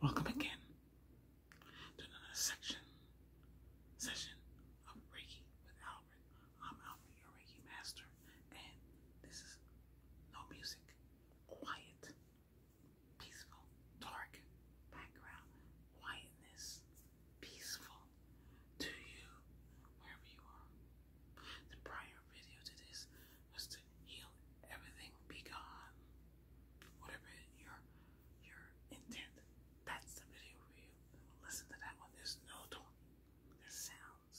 Welcome again to another session of Reiki with Albert. I'm Albert, your Reiki master, and this is no music, quiet, peaceful, dark background, quietness, peaceful to you wherever you are. The prior video to this was to heal everything be gone whatever your your intent, that's the video for you. Listen to that one. There's no talking. There's sounds.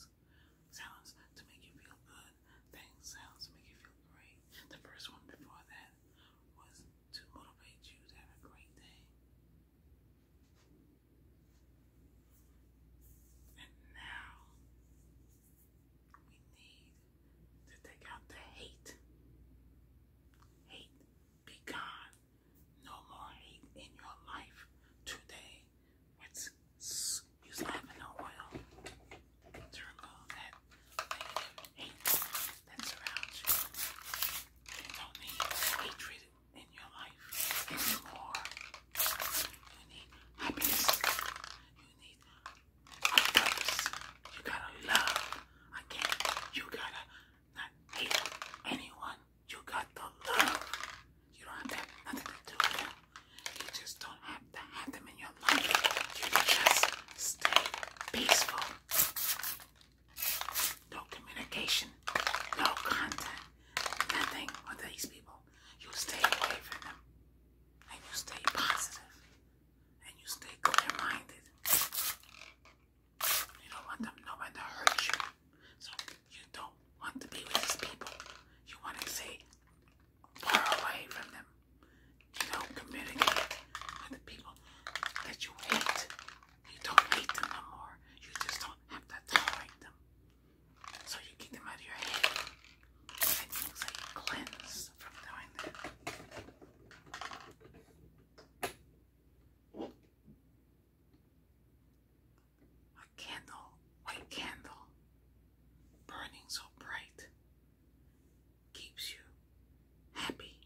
Sounds to make you feel good. Things sounds make you feel great. The first one before that was to motivate you to have a great day. And now we need to take out the hate. Hate be gone. No more hate in your life today. let use lavender oil to remove that hate that surrounds you. You don't need hatred in your life anymore. You need happiness. You need you gotta love. I can't. you gotta not hate anyone. You got the love. You don't have to have nothing to do with them. You just don't have to have them in your life. You just stay peaceful. No communication, no contact, nothing with these people. You stay away from them. And you stay positive and you stay clear minded. You don't want them, nobody to hurt you. So you don't want to be with these people. You want to stay far away from them. You don't communicate with the people that you hate. You don't hate them no more. You just don't have to tolerate them. So you get them out of your head. It looks like it from doing that. A candle, white candle, burning so bright, keeps you happy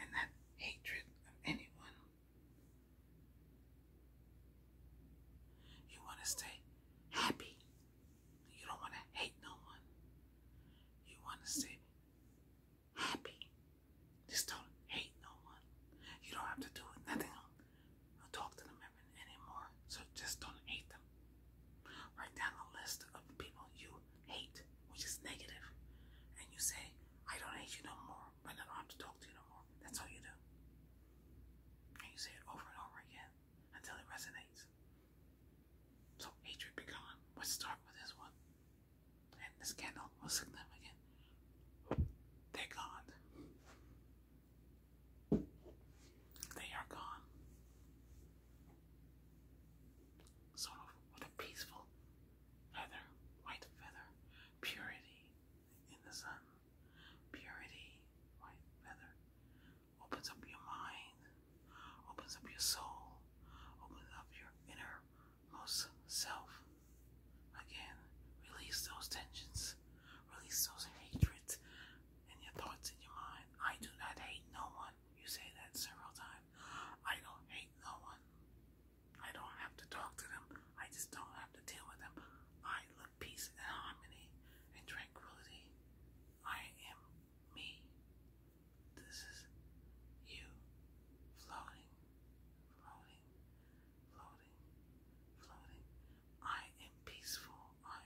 and that hatred of anyone. You want to stay happy you don't want to hate no one. You want to stay happy. Just don't hate no one. You don't have to do nothing I or talk to them anymore. So just don't hate them. Write down a list of people you hate, which is negative, and you say, I don't hate you no more, but I don't have to talk to you no more. That's all you do. And you say it over and over again until it resonates. So Adrian Picon would start with this one. And the scandal was significant. They're gone. They are gone. Sort of a peaceful feather, white feather, purity in the sun, purity, white feather, opens up your mind, opens up your soul, opens up your innermost self. Again, release those tensions, release those hatreds and your thoughts in your mind. I do not hate no one. You say that several times. I don't hate no one. I don't have to talk to them. I just don't have to deal with them. I love peace and harmony and tranquility. I am me. This is you floating, floating, floating, floating. I am peaceful. I,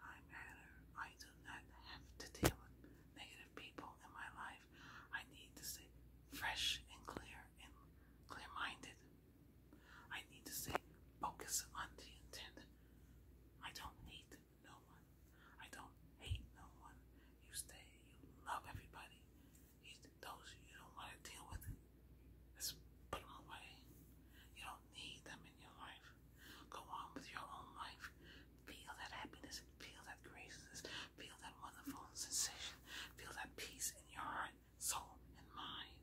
I matter. I do not have to deal with negative people in my life. I need to stay fresh and clear and clear minded. I need to stay focused on the intent. I don't hate no one. I don't hate no one. You stay, you love everybody. You, those you don't want to deal with, it, just put them away. You don't need them in your life. Go on with your own life. Feel that happiness. Feel that graces. Feel that wonderful sensation. Feel that peace in your heart, soul, and mind.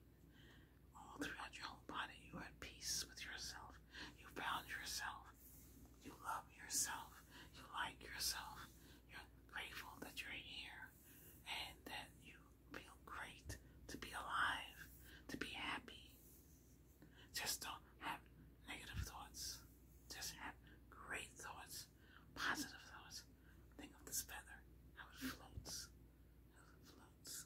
All throughout your whole body, you are at peace with yourself. You found yourself. You love yourself. You like yourself. You're grateful that you're here and that you feel great to be alive, to be happy. Just don't have negative thoughts. Just have great thoughts, positive thoughts. Think of this feather, how it floats, how it floats.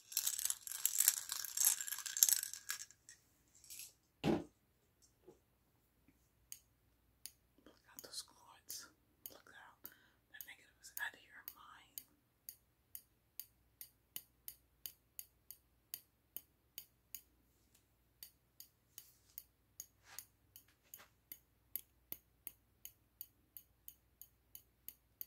Look out those chords. Look out. That negative is out of your mind. Look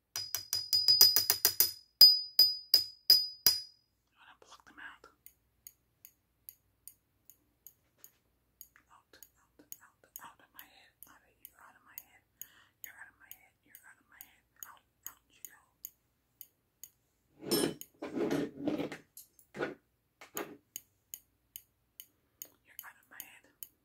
You want to pluck them out. Out, out, out, out of my head. Out of you, out of my head. You're out of my head. You're out of my head. Out, out you go. You're out of my head.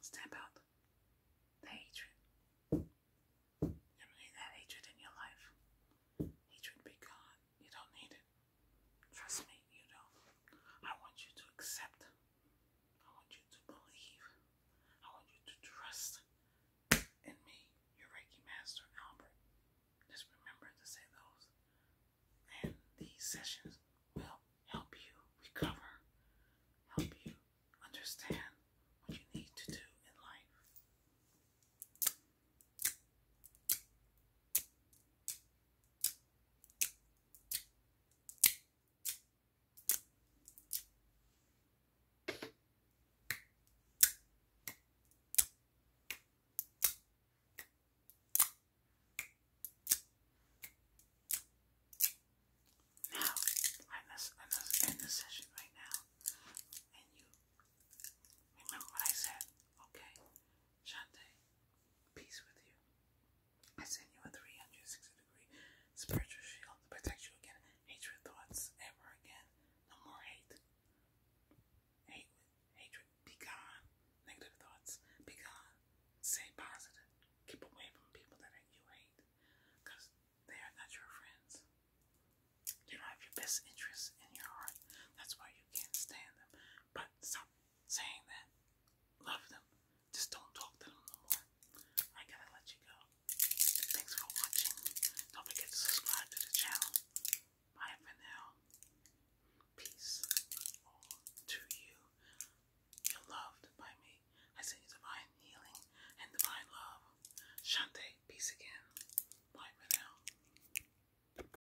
Stamp out the hatred. Eliminate that hatred in your life. Hatred be gone. You don't need it. Trust me, you know. I want you to accept. I want you to believe. I want you to trust in me, your Reiki Master Albert. Just remember to say those. And these sessions will help you recover, help you understand what you need to do in life. Now, I'm in this session right now, and you remember what I said, okay? Shante, peace with you. I send you a 360 degree spiritual shield to protect you against hatred thoughts ever again. No more hate. Hate hatred. Be gone. Negative thoughts. Be gone. Stay positive. Keep away from people that you hate. Because they are not your friends. You don't have your best interests in your heart. That's why you can't stand them. But stop saying that love them, just don't talk to them no more. I gotta let you go. Thanks for watching. Don't forget to subscribe to the channel. Bye for now. Peace all to you. You're loved by me. I send you divine healing and divine love. Shante, peace again. Bye for now.